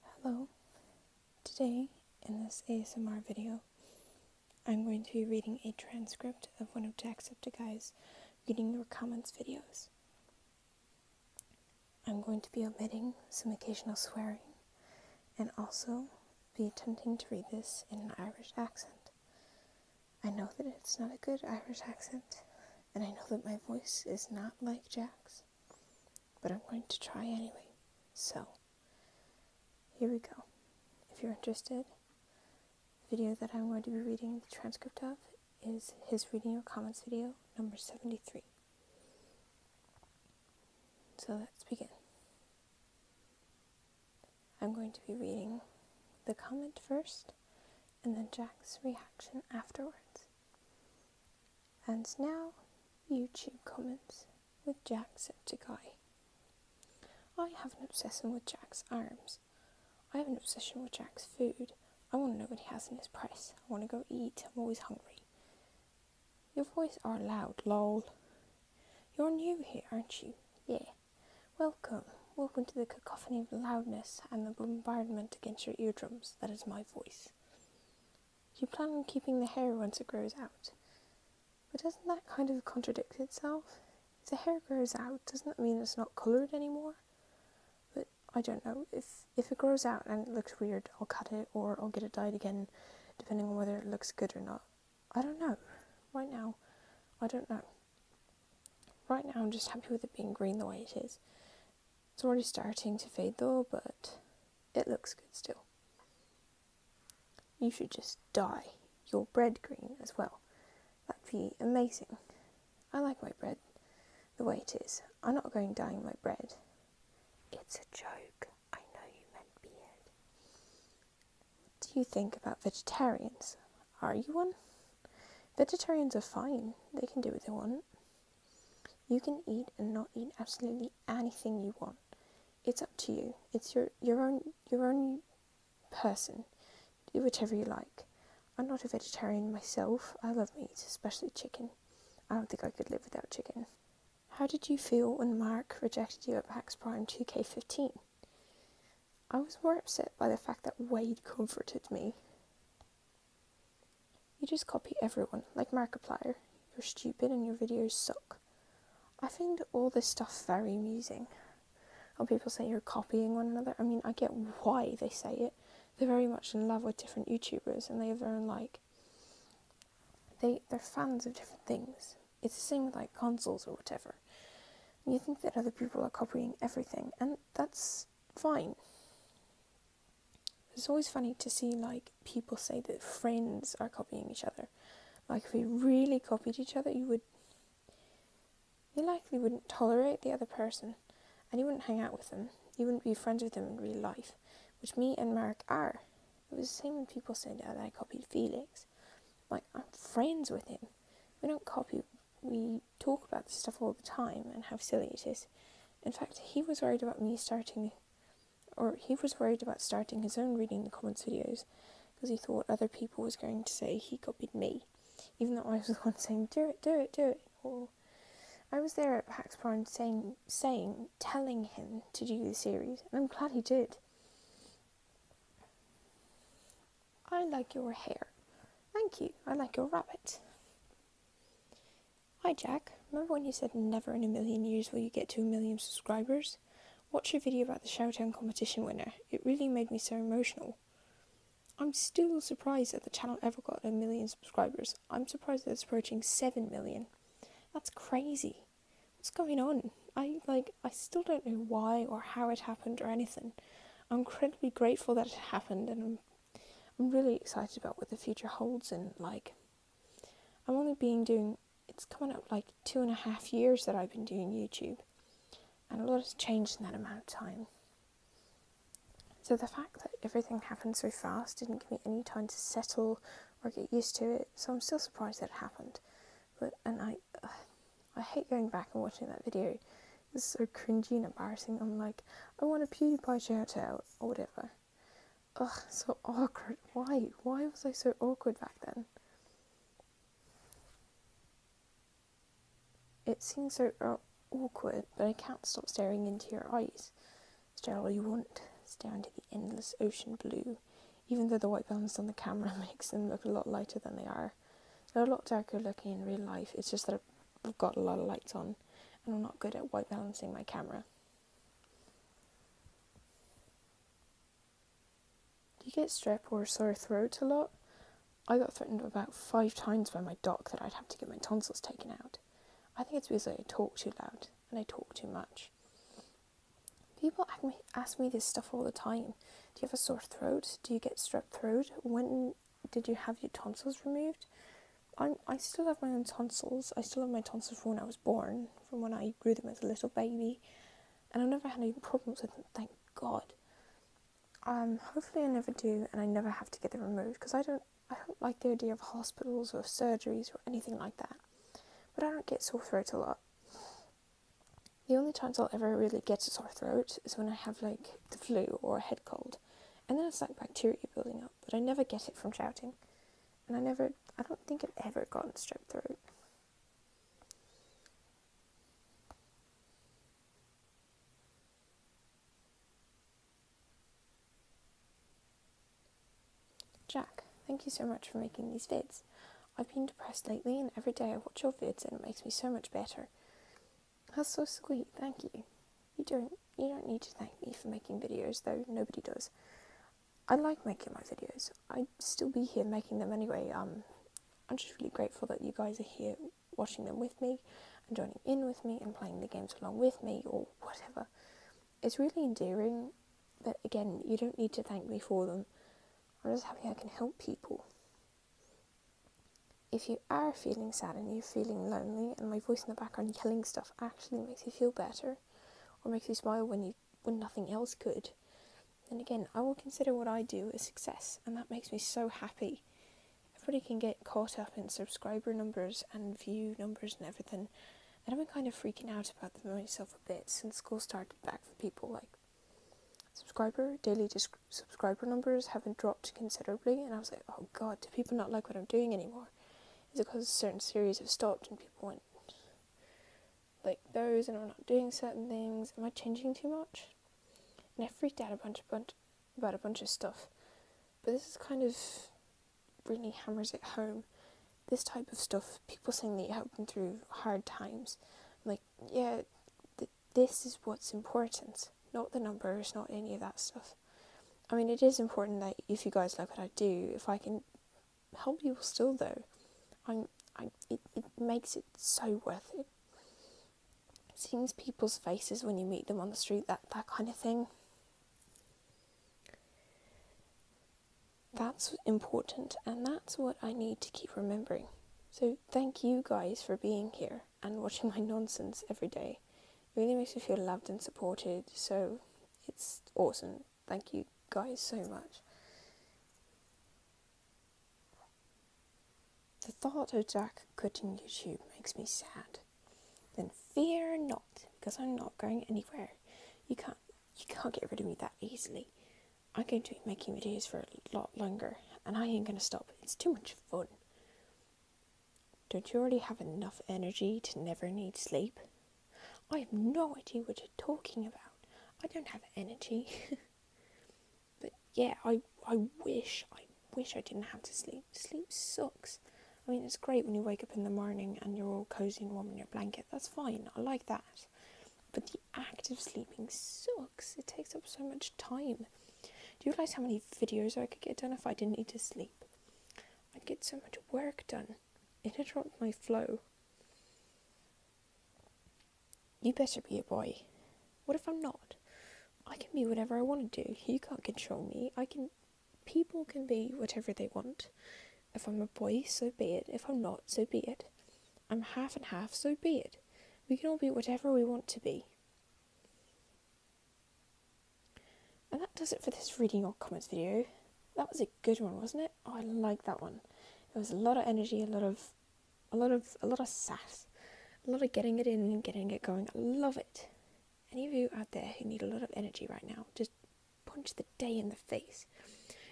Hello, today in this ASMR video I'm going to be reading a transcript of one of Jacksepticeye's reading your comments videos. I'm going to be omitting some occasional swearing and also be attempting to read this in an Irish accent. I know that it's not a good Irish accent and I know that my voice is not like Jack's, but I am going to try anyway. So, here we go. If you're interested, the video that I'm going to be reading the transcript of is his reading your comments video number 73. So let's begin. I'm going to be reading the comment first and then Jack's reaction afterwards. And now, YouTube comments with Jacksepticeye. I have an obsession with Jack's arms. I have an obsession with Jack's food. I want to know what he has in his press. I want to go eat. I'm always hungry. Your voice are loud, lol. You're new here, aren't you? Yeah. Welcome. Welcome to the cacophony of loudness and the bombardment against your eardrums. That is my voice. You plan on keeping the hair once it grows out. But doesn't that kind of contradict itself? If the hair grows out, doesn't that mean it's not coloured anymore? But I don't know. If if it grows out and it looks weird, I'll cut it or I'll get it dyed again, depending on whether it looks good or not. I don't know. Right now, I don't know. Right now, I'm just happy with it being green the way it is. It's already starting to fade though, but it looks good still. You should just dye your bread green as well. That'd be amazing. I like white bread the way it is. I'm not going dyeing my bread. It's a joke. I know you meant beard. do you think about vegetarians? Are you one? Vegetarians are fine. They can do what they want. You can eat and not eat absolutely anything you want. It's up to you. It's your, your own your own person. Do whatever you like. I'm not a vegetarian myself. I love meat, especially chicken. I don't think I could live without chicken. How did you feel when Mark rejected you at Max Prime 2K15? I was more upset by the fact that Wade comforted me. You just copy everyone, like Markiplier. You're stupid and your videos suck. I find all this stuff very amusing. When people say you're copying one another. I mean, I get why they say it. They're very much in love with different YouTubers and they have their own like. They, they're fans of different things. It's the same with like consoles or whatever. you think that other people are copying everything, and that's fine. It's always funny to see like people say that friends are copying each other. Like if we really copied each other, you would you likely wouldn't tolerate the other person and you wouldn't hang out with them. You wouldn't be friends with them in real life, which me and Mark are. It was the same when people said oh, that I copied Felix. Like I'm friends with him. We don't copy we talk about this stuff all the time and how silly it is. In fact, he was worried about me starting, or he was worried about starting his own reading the comments videos because he thought other people was going to say he copied me, even though I was the one saying, do it, do it, do it, or I was there at Pax Prime saying, saying, telling him to do the series, and I'm glad he did. I like your hair. Thank you. I like your rabbit. Hi Jack, remember when you said never in a million years will you get to a million subscribers? Watch your video about the Showtown competition winner. It really made me so emotional. I'm still surprised that the channel ever got a million subscribers. I'm surprised it's approaching 7 million. That's crazy. What's going on? I like I still don't know why or how it happened or anything. I'm incredibly grateful that it happened and I'm I'm really excited about what the future holds and like I'm only being doing it's coming up like two and a half years that I've been doing YouTube and a lot has changed in that amount of time. So the fact that everything happened so fast didn't give me any time to settle or get used to it, so I'm still surprised that it happened. But and I I hate going back and watching that video this is so cringy and embarrassing. I'm like, I want a PewDiePie shout out or whatever. Ugh, so awkward. Why? Why was I so awkward back then? It seems so uh, awkward, but I can't stop staring into your eyes. Stare all you want. Stare into the endless ocean blue, even though the white balance on the camera makes them look a lot lighter than they are. They're a lot darker looking in real life. It's just that I've got a lot of lights on and I'm not good at white balancing my camera. Do you get strep or sore throat a lot? I got threatened about five times by my doc that I'd have to get my tonsils taken out. I think it's because I talk too loud and I talk too much. People ask me, ask me this stuff all the time. Do you have a sore throat? Do you get strep throat? When did you have your tonsils removed? I'm, I still have my own tonsils. I still have my tonsils from when I was born, from when I grew them as a little baby, and I've never had any problems with them. Thank God. Um, hopefully I never do, and I never have to get them removed because I don't. I don't like the idea of hospitals or surgeries or anything like that. But I don't get sore throat a lot. The only times I'll ever really get a sore throat is when I have like the flu or a head cold. And then it's like bacteria building up, but I never get it from shouting. And I never, I don't think I've ever gotten strep throat. Jack, thank you so much for making these vids. I've been depressed lately, and every day I watch your vids and it makes me so much better. That's so sweet. Thank you. You don't you don't need to thank me for making videos though. Nobody does. I like making my videos. I'd still be here making them anyway. Um, I'm just really grateful that you guys are here watching them with me and joining in with me and playing the games along with me or whatever. It's really endearing, but again, you don't need to thank me for them. I'm just happy I can help people. If you are feeling sad and you're feeling lonely, and my voice in the background yelling stuff actually makes you feel better or makes you smile when you when nothing else could, then again, I will consider what I do a success, and that makes me so happy. Everybody can get caught up in subscriber numbers and view numbers and everything, and I've been kind of freaking out about them myself a bit since school started back for people like subscriber daily subscriber numbers haven't dropped considerably and i was like oh god do people not like what i'm doing anymore is it because certain series have stopped and people want like those and i'm not doing certain things am i changing too much and i freaked out a bunch, a bunch about a bunch of stuff but this is kind of really hammers it home this type of stuff people saying they you help them through hard times I'm like yeah this is what's important, not the numbers, not any of that stuff. I mean, it is important that if you guys like what I do, if I can help you still though, i I, it, it makes it so worth it. Seeing people's faces when you meet them on the street, that, that kind of thing. That's important, and that's what I need to keep remembering. So, thank you guys for being here and watching my nonsense every day. It really makes me feel loved and supported, so it's awesome. Thank you guys so much. The thought of Jack quitting YouTube makes me sad. Then fear not, because I'm not going anywhere. You can't you can't get rid of me that easily. I'm going to be making videos for a lot longer, and I ain't going to stop. It's too much fun. Don't you already have enough energy to never need sleep? I have no idea what you're talking about. I don't have energy. but yeah, I, I wish, I wish I didn't have to sleep. Sleep sucks. I mean, it's great when you wake up in the morning and you're all cozy and warm in your blanket. That's fine. I like that. But the act of sleeping sucks. It takes up so much time. Do you realize how many videos I could get done if I didn't need to sleep? I'd get so much work done. It interrupts my flow. You better be a boy. What if I'm not? I can be whatever I want to do. You can't control me. I can. People can be whatever they want. If I'm a boy, so be it. If I'm not, so be it. I'm half and half, so be it. We can all be whatever we want to be. And that does it for this reading or comments video. That was a good one, wasn't it? Oh, I like that one. It was a lot of energy, a lot of, a lot of, a lot of sass, a lot of getting it in and getting it going. I love it. Any of you out there who need a lot of energy right now, just punch the day in the face.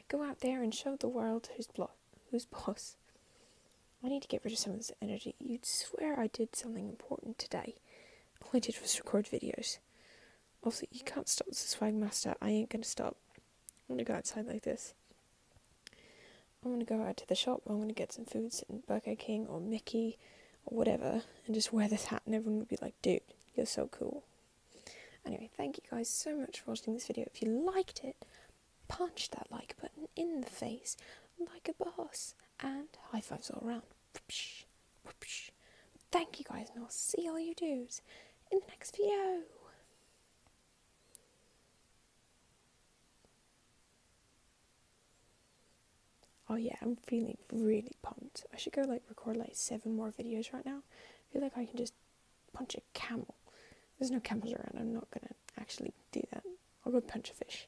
Go out there and show the world who's boss. Who's boss? I need to get rid of some of this energy. You'd swear I did something important today. All I did was record videos. Also, you can't stop this swag master. I ain't gonna stop. I'm gonna go outside like this. I'm gonna go out to the shop. I'm gonna get some food, sit in Burger King or Mickey or whatever, and just wear this hat, and everyone would be like, dude, you're so cool. Anyway, thank you guys so much for watching this video. If you liked it, punch that like button in the face like a boss, and high fives all around. Whoopsh, Thank you guys, and I'll see all you dudes in the next video. Oh yeah, I'm feeling really pumped. I should go like record like seven more videos right now. feel like I can just punch a camel. There's no camels around. I'm not gonna actually do that. I'll go punch a fish.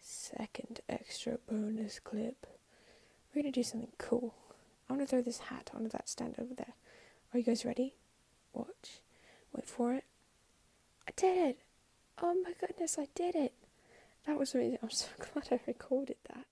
Second extra bonus clip. We're gonna do something cool. I wanna throw this hat onto that stand over there. Are you guys ready? Watch. Wait for it. I did it! Oh my goodness, I did it! That was amazing. I'm so glad I recorded that.